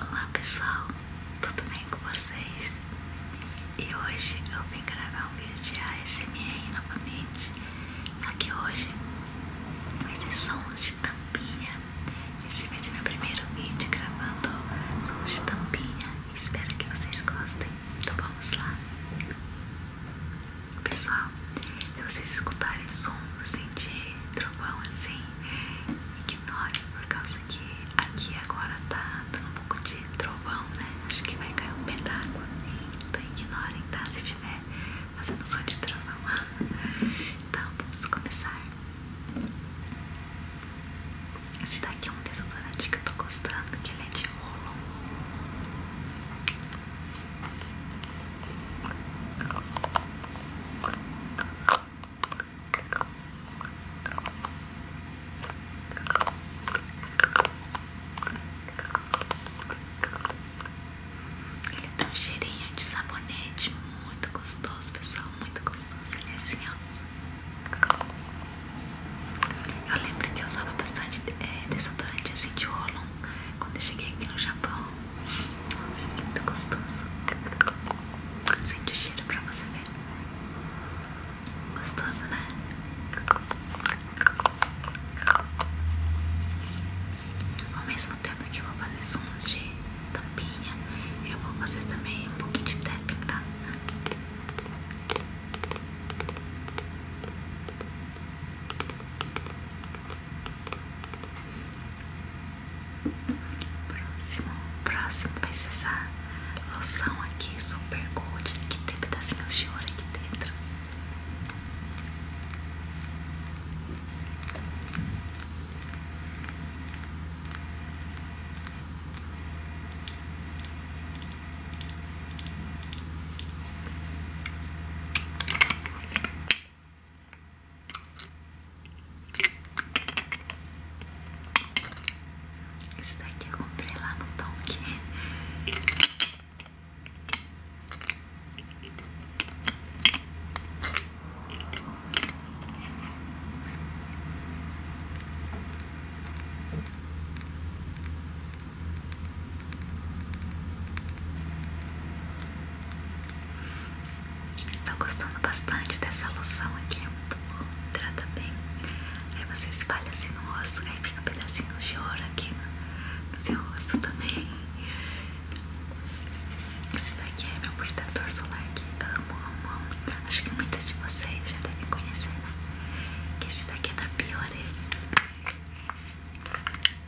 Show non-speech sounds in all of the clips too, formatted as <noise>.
Olá pessoal, tudo bem com vocês? E hoje eu vim gravar um vídeo de ASMR novamente Aqui hoje vai ser sons de tampinha Esse vai ser meu primeiro vídeo gravando sons de tampinha Espero que vocês gostem, então vamos lá Pessoal, se vocês escutarem sons assim de trovão assim que ignorem por causa que aqui agora tá dando um pouco de trovão, né? Acho que vai cair um pé d'água. Então ignorem, tá? Se tiver fazendo som de trovão. <laughs> Então, vamos começar. Esse daqui é um desodorante que eu tô gostando, que ele é de rolo. Ele tem um cheirinho de sabonete muito gostoso, pessoal, muito gostoso. Ele é assim, ó. Eu lembro que eu usava bastante é, desodorante assim de Rolon quando eu cheguei aqui no Japão. Nossa, muito gostoso. Sente o cheiro pra você ver. Gostoso, né? Ao mesmo tempo que eu vou fazer sons de tampinha, eu vou fazer também um pouquinho de tapinha tá? Próximo, próximo vai ser essa loção aqui, super gold, que tem pedacinhos de ouro aqui dentro. Esse daqui eu comprei lá no Tonk estão gostando bastante dessa loção aqui, é muito bom, trata bem. Aí você espalha assim no rosto, aí fica pedacinhos de ouro aqui no, seu rosto também. Esse daqui é meu protetor solar que amo, amo, amo. Acho que muitas de vocês já devem conhecer, né? Que esse daqui é da Biore.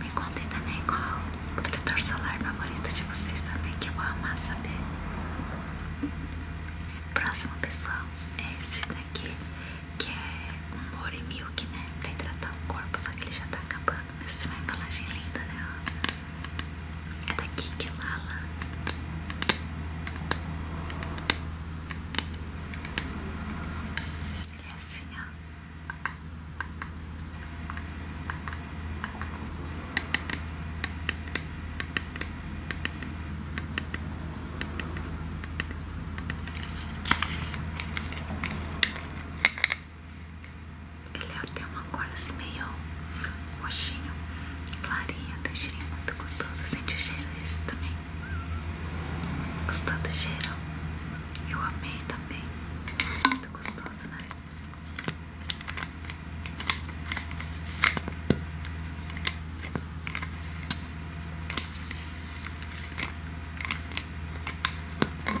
Me contem também qual o protetor solar favorito de vocês também, que eu vou amar saber. Próximo, pessoal, é esse daqui, que é um Body Milk, né? Pra hidratar o corpo, só que ele já tá acabando, mas tem uma embalagem linda, né? É da Kiki Lala. E assim, ó. Ele é até uma cor assim meio roxinho, clarinho, tem cheirinho muito gostoso. Sente o cheiro desse também? gostando do cheiro? Eu amei também. É muito gostoso, né? Hum.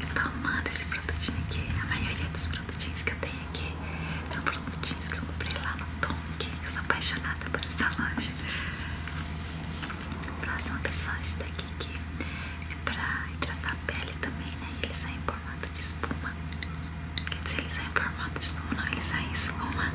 Eu tô amando esse produtinho aqui. A maioria dos produtinhos que eu tenho aqui são produtinhos que eu comprei lá no Tonk. Eu sou apaixonada por essa loja. Próxima pessoal esse daqui aqui é pra hidratar a pele também, né? Ele sai em formato de espuma. Quer dizer, ele sai em formato de espuma, não, ele sai em espuma.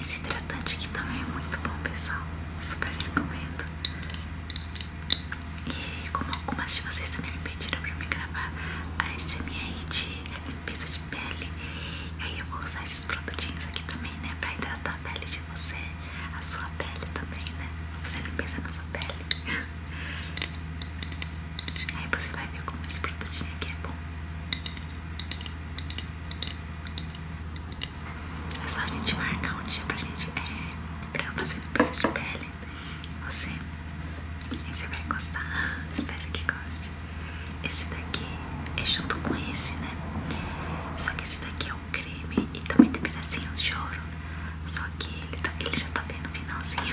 Esse hidratante aqui também é muito bom, pessoal. Super recomendo. E como algumas de vocês também me pediram para me gravar a SMR de limpeza de pele, aí eu vou usar esses produtinhos aqui também, né? para hidratar a pele de você, a sua pele também, né? Você nem pensa na sua pele. <laughs> Aí você vai ver como esse produtinho aqui é bom. É só a gente marcar um dia pra gente. É, pra fazer limpeza de pele. Você. você vai gostar. <laughs> Espero que goste. Esse daqui é junto com esse, né? Só que esse daqui é o creme e também tem pedacinhos de ouro. Só que ele, tá, já tá vendo no finalzinho.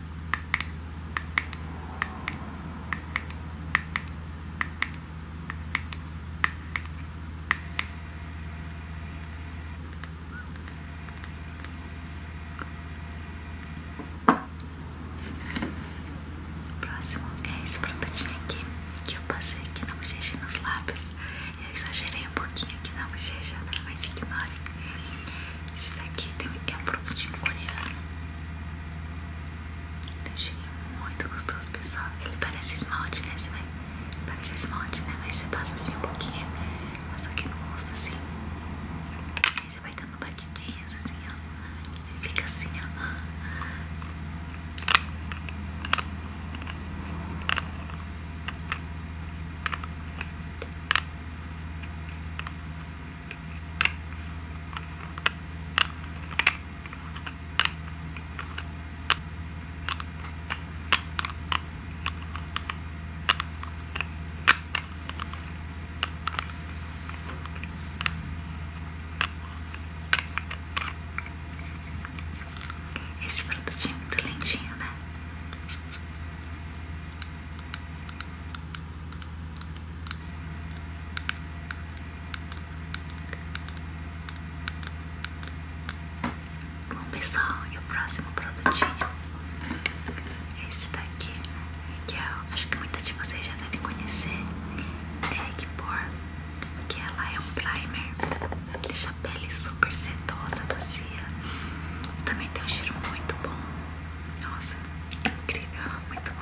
O próximo é esse produtinho aqui que eu passei aqui na bochecha e nos lábios. Eu exagerei um pouquinho aqui na bochecha, mas ignore. Esse daqui é um produtinho coreano. Eu achei muito gostoso, pessoal. Ele parece esmalte, né? vai... Parece esmalte, né? Mas você passa assim um pouquinho, passa aqui no rosto assim. Aí você vai dando batidinhas assim, ó. Ele fica assim, ó. Ele esse produtinho é muito lentinho, né? Bom pessoal, e o próximo produtinho é esse daqui, que eu acho que muita de vocês já devem conhecer, é Egg Eggpore, que ela é um primer, deixa a pele super sedosa, macia, também tem um cheiro muito bom. Nossa, é incrível, muito bom.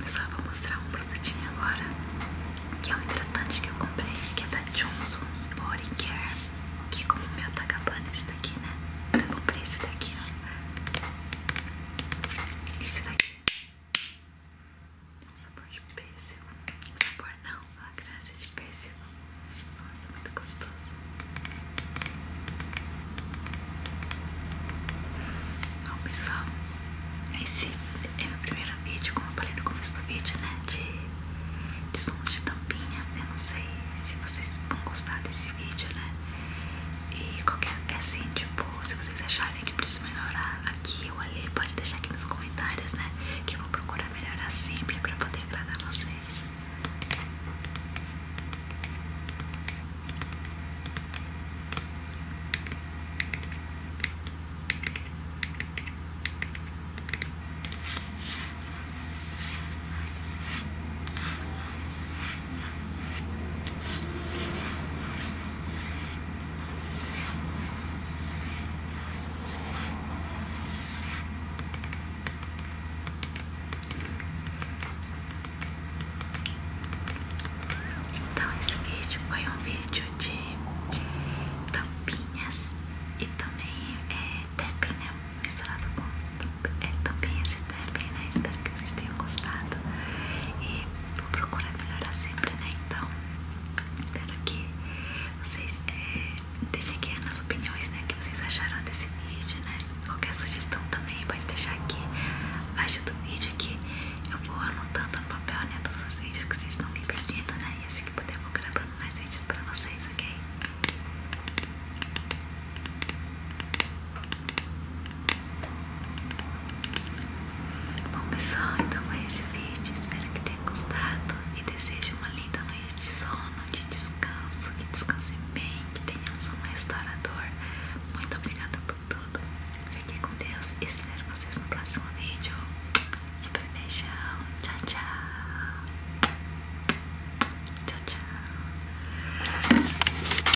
Eu só vou mostrar um produtinho agora, que é um hidratante que eu comprei, que é da Johnson's Body Care, que é como o meu tá acabando esse daqui, né? Então eu comprei esse daqui, ó. Esse daqui. Um sabor de pêssego. Um sabor não, a graça de pêssego. Nossa, muito gostoso. Bom pessoal, esse é meu primeiro vídeo, como eu falei no começo do vídeo, né? De, de som de tampinha. Eu não sei se vocês vão gostar desse vídeo, né? E qualquer. É assim, tipo, se vocês acharem que preciso melhorar a aqui ou ali, pode deixar aqui nos comentários, né? Que eu vou procurar melhorar sempre para poder agradar vocês. Então esse vídeo foi um vídeo de tampinhas e também é, tapping, né? Misturado com é, tampinhas e tapping, né? Espero que vocês tenham gostado. E vou procurar melhorar sempre, né? Então, espero que vocês é, deixem aqui nas opiniões, né? O que vocês acharam desse vídeo, né? Qualquer sugestão também pode deixar aqui abaixo do vídeo que eu vou anotando no papel, né? Dos seus vídeos que vocês estão me pedindo, né? E assim que puder, eu vou gravando mais vídeos pra vocês, ok? Bom pessoal, então foi esse vídeo, espero que tenha gostado e desejo uma linda noite de sono, de descanso, que descansem bem, que tenham um sono restaurador. Muito obrigada por tudo. Fiquem com Deus e espero vocês no próximo vídeo. Super beijão, tchau, tchau. Tchau, tchau.